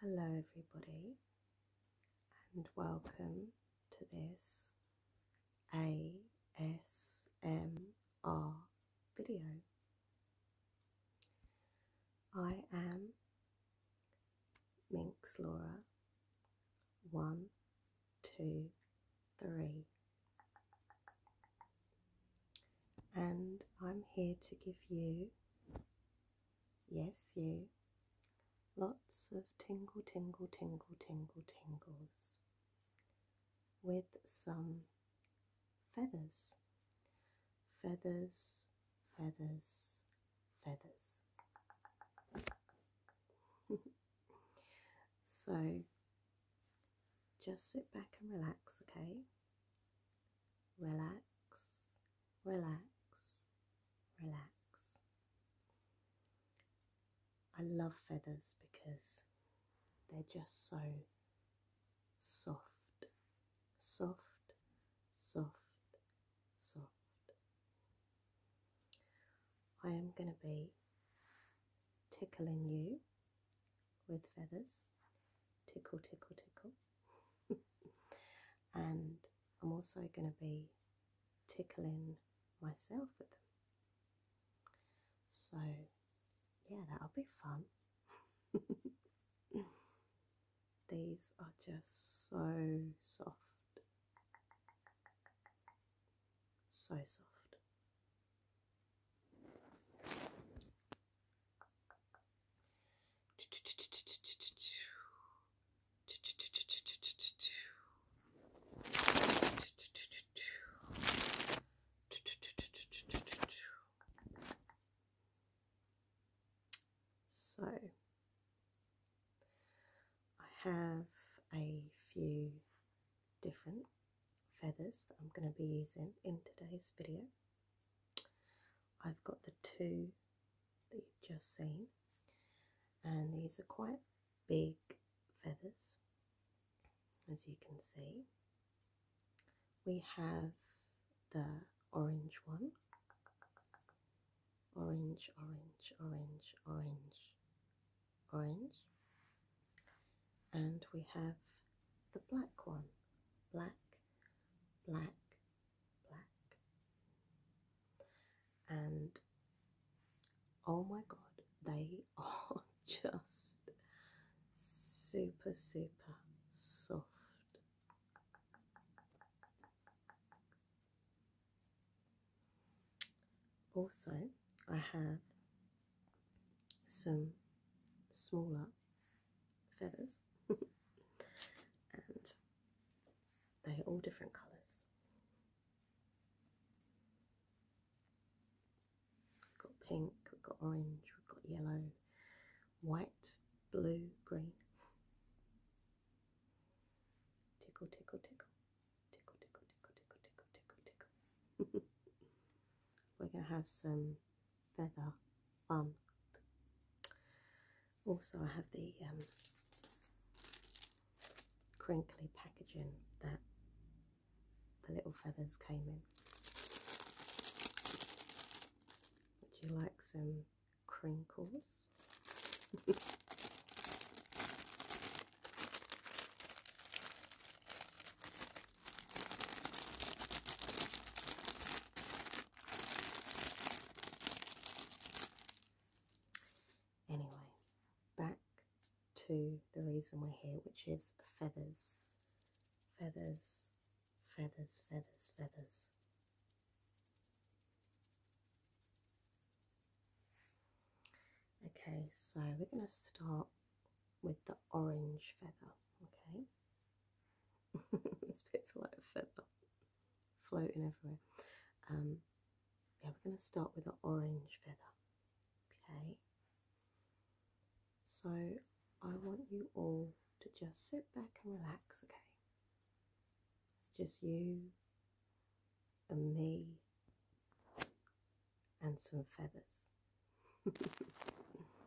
Hello, everybody, and welcome to this ASMR video. I am Minx Laura. One, two, three and I'm here to give you, yes, you, lots of tingle, tingle, tingle, tingle, tingles with some feathers, feathers, feathers, feathers. so just sit back and relax, okay? relax, relax, relax. I love feathers because they're just so soft, soft, soft, soft. I am going to be tickling you with feathers. Tickle, tickle, tickle. and I'm also going to be tickling myself with them. So, yeah, that'll be fun. These are just so soft. So soft. So I have a few different feathers that I'm going to be using in today's video. I've got the two that you've just seen, and these are quite big feathers, as you can see. We have the orange one, orange, orange, orange, orange, orange, and we have the black one, black, black, black. And oh my god, they are just super, super soft. Also, I have some smaller feathers and they're all different colours. We've got pink, we've got orange, we've got yellow, white, blue, green. Tickle, tickle, tickle. Tickle, tickle, tickle, tickle, tickle, tickle, tickle. We're going to have some feather fun. Also, I have the um, crinkly packaging that the little feathers came in. Would you like some crinkles? Anyway, back to the reason we're here, which is feathers. Feathers, feathers, feathers, feathers. Okay, so we're going to start with the orange feather, okay? this bit's a lot of feather floating everywhere. Um, yeah, we're going to start with an orange feather. Okay. So I want you all to just sit back and relax, okay? It's just you and me and some feathers.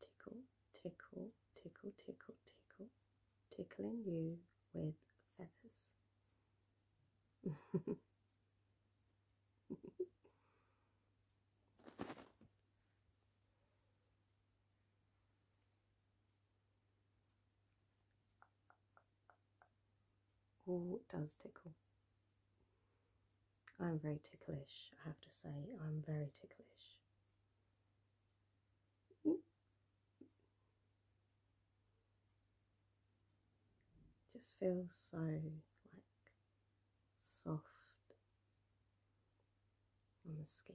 Tickle, tickle, tickle, tickle, tickle, tickling you with feathers. Or does tickle? I'm very ticklish, I have to say. I'm very ticklish. Just feels so like soft on the skin.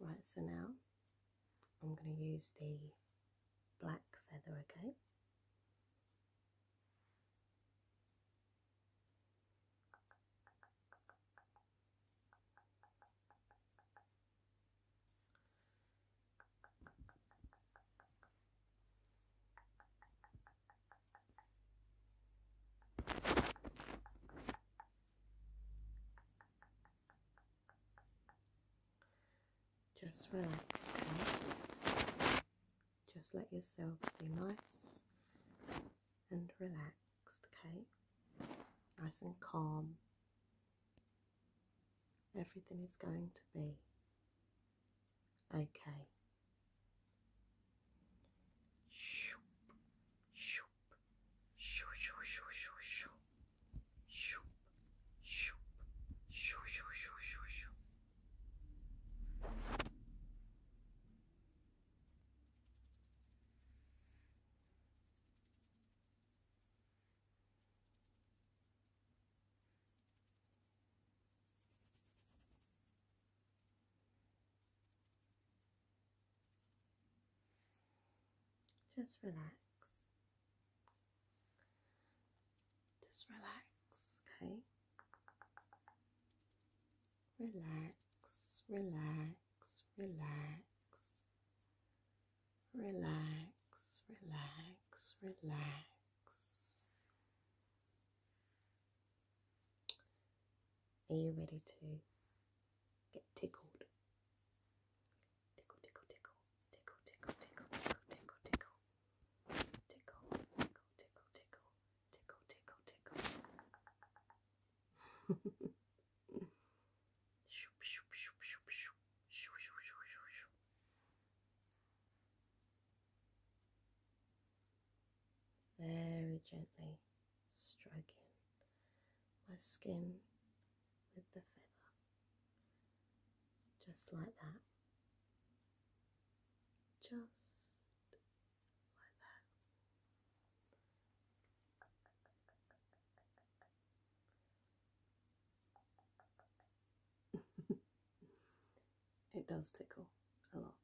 Right, so now I'm going to use the black feather again. Just relax, okay? Just let yourself be nice and relaxed, okay? Nice and calm. Everything is going to be Okay. Shoop, shoop, shoo, shoo, shoo, shoo, shoo. Shoop, shoop, shoo, shoo, shoo, shoo, shoo. Just relax. Just relax, okay? Relax, relax, relax. Relax, relax, relax. Are you ready to get tickled? Tickle, tickle, tickle, tickle, tickle, tickle, tickle, tickle, tickle, tickle, tickle, tickle, tickle, tickle, tickle, tickle. Shoop, shoop, shoop, shoop, shoop, shoop, shoop, shoop, shoop, shoop. Very gently stroking my skin with the feather, just like that, just like that. it does tickle a lot.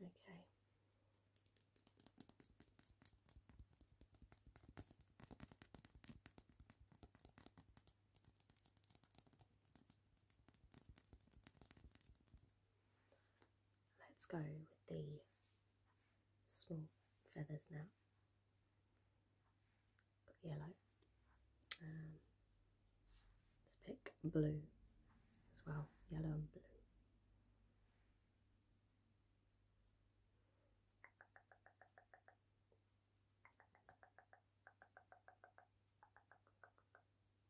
Okay. Let's go with the small feathers now. Got yellow. Um, let's pick blue as well, yellow and blue.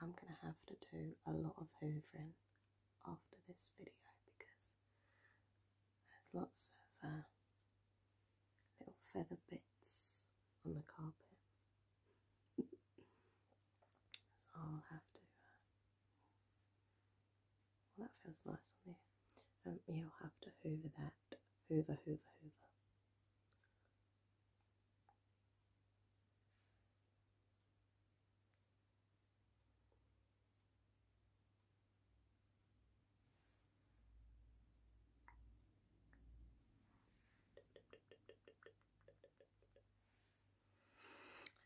I'm going to have to do a lot of hoovering after this video because there's lots of uh, little feather bits on the carpet. so I'll have to. Uh, well, that feels nice on there. Um, yeah, will have to hoover that. Hoover, hoover, hoover.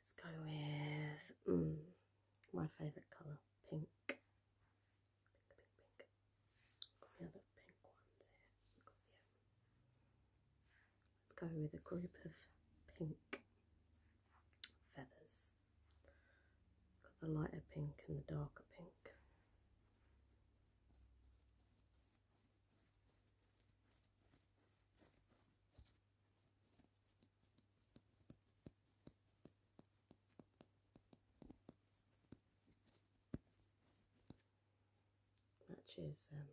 Let's go with mm, my favourite colour, pink let's go with a group of pink feathers. Got the lighter pink and the darker pink. Matches um,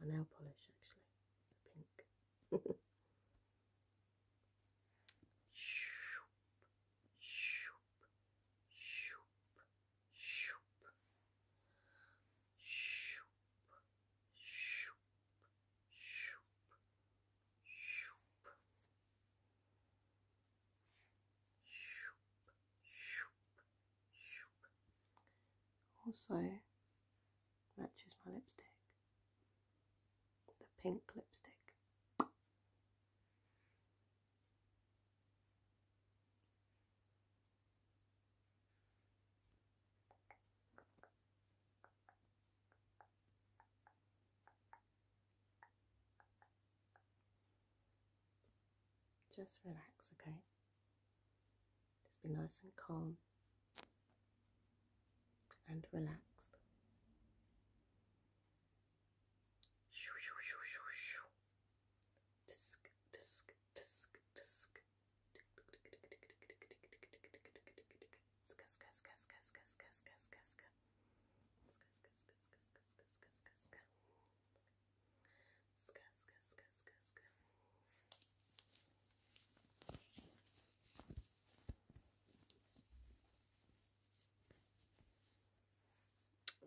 my nail polish actually, pink. Also matches my lipstick, the pink lipstick. Just relax, okay? Just be nice and calm and relaxed.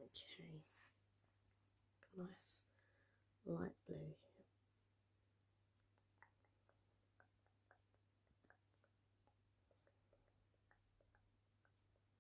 Okay, nice light blue here.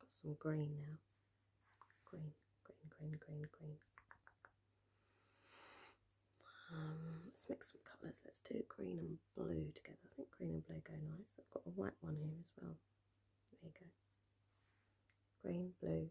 Got some green now. Green, green, green, green, green. Um, let's mix some colours. Let's do green and blue together. I think green and blue go nice. I've got a white one here as well. There you go. Green, blue,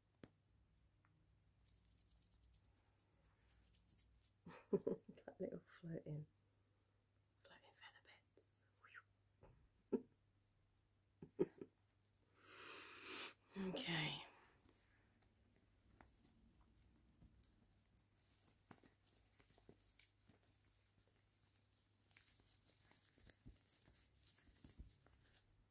that little floating, floating feather okay.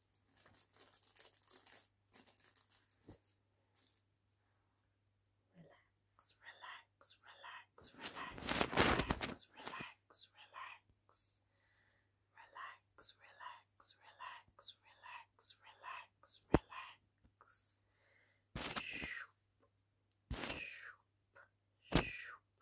Relax, relax, relax, relax, relax, relax, relax. Relax, relax, relax, relax, relax, relax. Shoop, shoop, shoop,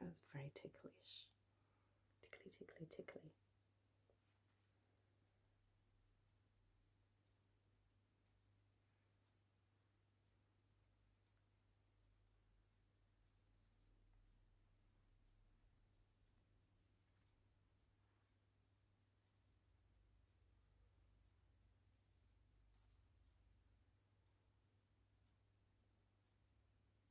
That was very ticklish. Tickly, tickly, tickly.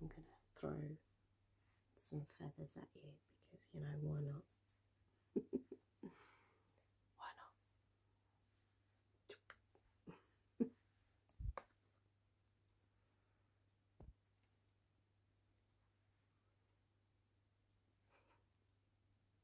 I'm gonna throw some feathers at you because you know why not? why not?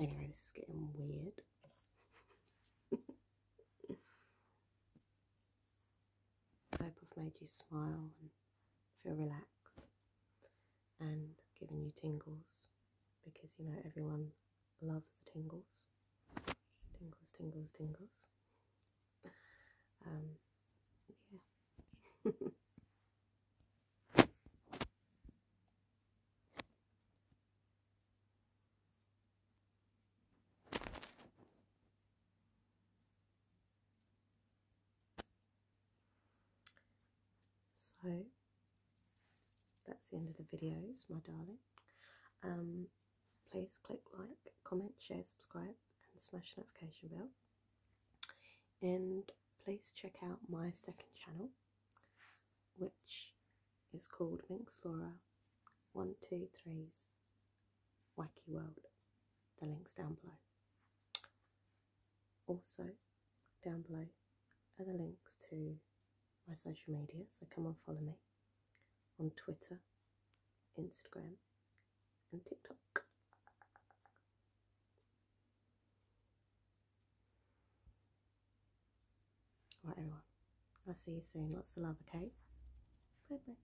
Anyway, this is getting weird. I hope I've made you smile and feel relaxed and given you tingles because you know everyone loves the tingles. Tingles, tingles, tingles. Um, yeah. So that's the end of the videos, my darling. Um, please click like, comment, share, subscribe, and smash notification bell. And please check out my second channel, which is called Minx Laura 123's wacky world. The links down below. Also, down below are the links to my social media, so come on, follow me on Twitter, Instagram, and TikTok. Right, everyone, I'll see you soon. Lots of love, okay? Bye bye.